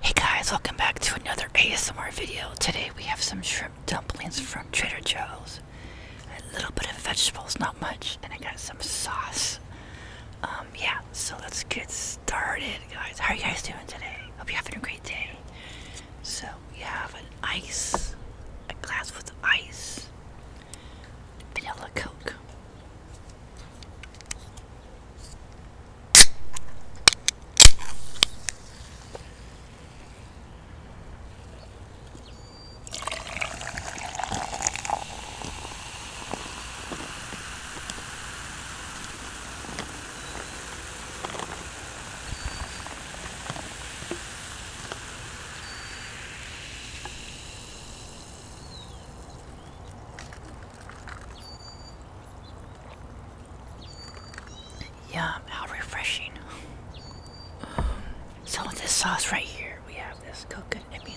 Hey guys, welcome back to another ASMR video. Today we have some shrimp dumplings from Trader Joe's. A little bit of vegetables, not much, and I got some sauce. Um, yeah, so let's get started guys. How are you guys doing today? Hope you're having a great day. So, we have an ice, a glass with ice, vanilla coke. Yum, how refreshing. Um, so with this sauce right here, we have this coconut and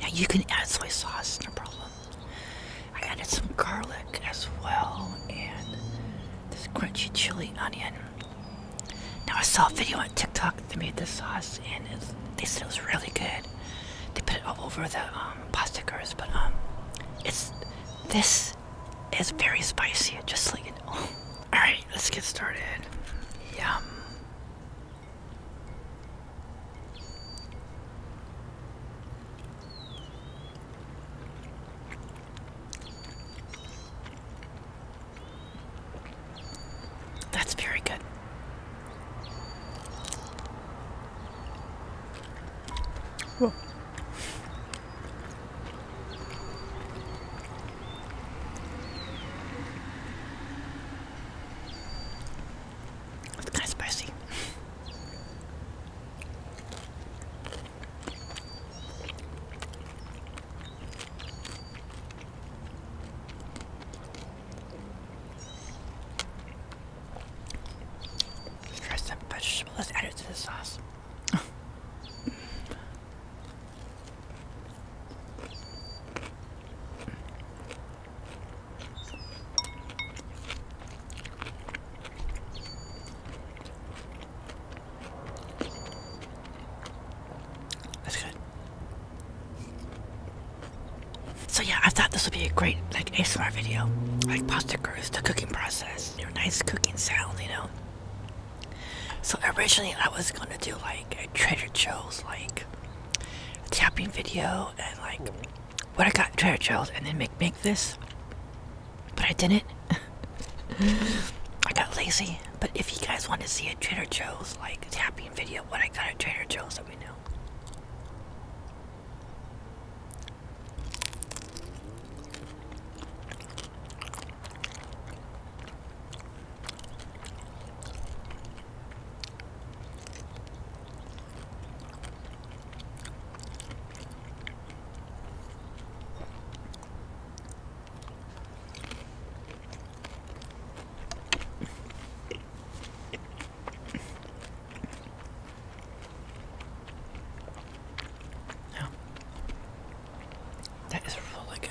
Now you can add soy sauce, no problem. I added some garlic as well and this crunchy chili onion. Now I saw a video on TikTok that made this sauce and they said it was really good. They put it all over the um, but um, it's this is very spicy. Just like it. Oh. All right, let's get started. Yum. That's very good. Whoa. It's kind of spicy. Dress some vegetable, let's add it to the sauce. That's good. So yeah, I thought this would be a great like ASMR video, like pasta cruise, the cooking process, your nice cooking sound, you know. So originally I was gonna do like a Trader Joe's like tapping video and like what I got Trader Joe's and then make make this, but I didn't. I got lazy. But if you guys want to see a Trader Joe's like tapping video, what I got at Trader Joe's, let me know. Now, that is really good.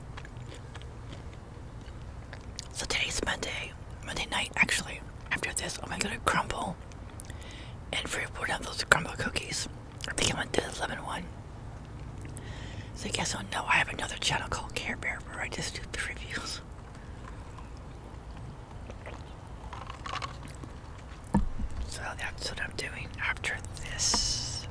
So today's Monday, Monday night actually. After this, I'm gonna go to crumble and free up of those crumble cookies. I think I want the lemon one. So guess I'll know, I have another channel called Care Bear where I just do the reviews. So that's what I'm doing after this.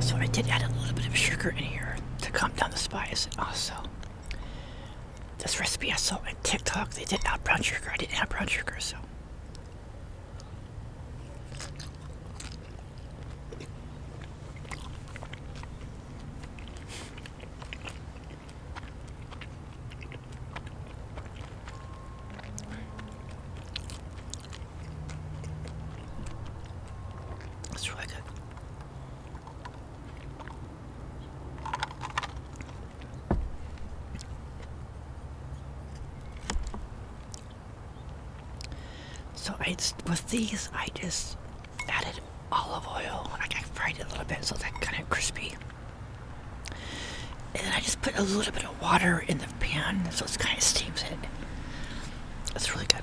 So I did add a little bit of sugar in here to calm down the spice also. This recipe I saw on TikTok. They did not brown sugar. I didn't have brown sugar, so. It's really good. So I with these I just added olive oil like I fried it a little bit so that kind of crispy. And then I just put a little bit of water in the pan so it kind of steams it. It's really good.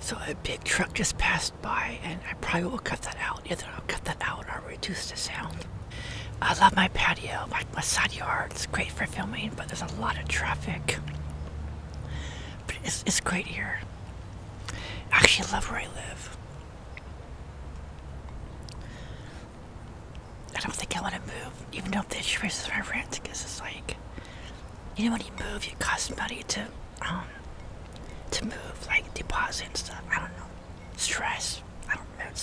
So a big truck just passed by, and I probably will cut that out. Either I'll cut that out or reduce the sound. I love my patio, my, my side yard. It's great for filming, but there's a lot of traffic. But it's, it's great here. I actually love where I live. I don't think I want to move, even though the choice is my rent, because it's like, you know, when you move, you cost money to, um, to move, like deposit and stuff. I don't know. Stress. I don't know. let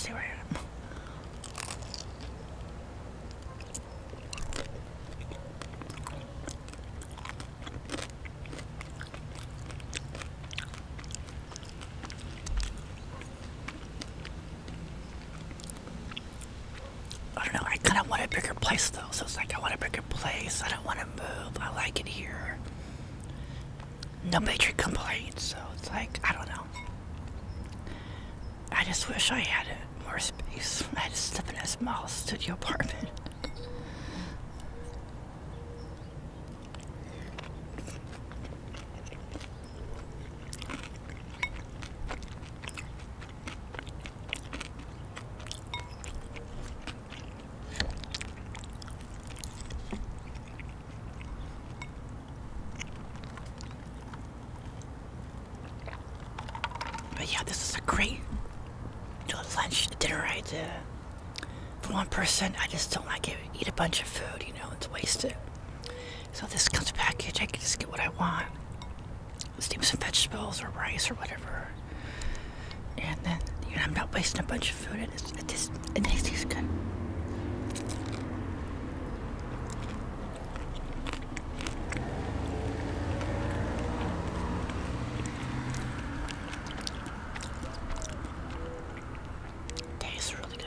I don't know, I kind of want a bigger place though, so it's like I want a bigger place, I don't want to move, I like it here. No major complaints, so it's like, I don't know. I just wish I had more space. I had to live in a small studio apartment. But yeah, this is a great lunch dinner idea. For one person, I just don't like it eat a bunch of food, you know, it's wasted. So this comes packaged, I can just get what I want. Steam some vegetables or rice or whatever. And then, you know, I'm not wasting a bunch of food and it just, it tastes good. Tastes really good.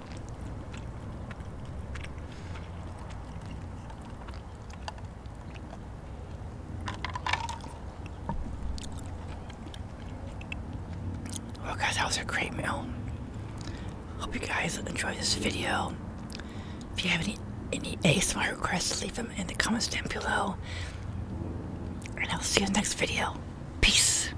Well guys, that was a great meal. Hope you guys enjoyed this video. If you have any any ASMR requests, leave them in the comments down below. And I'll see you in the next video. Peace.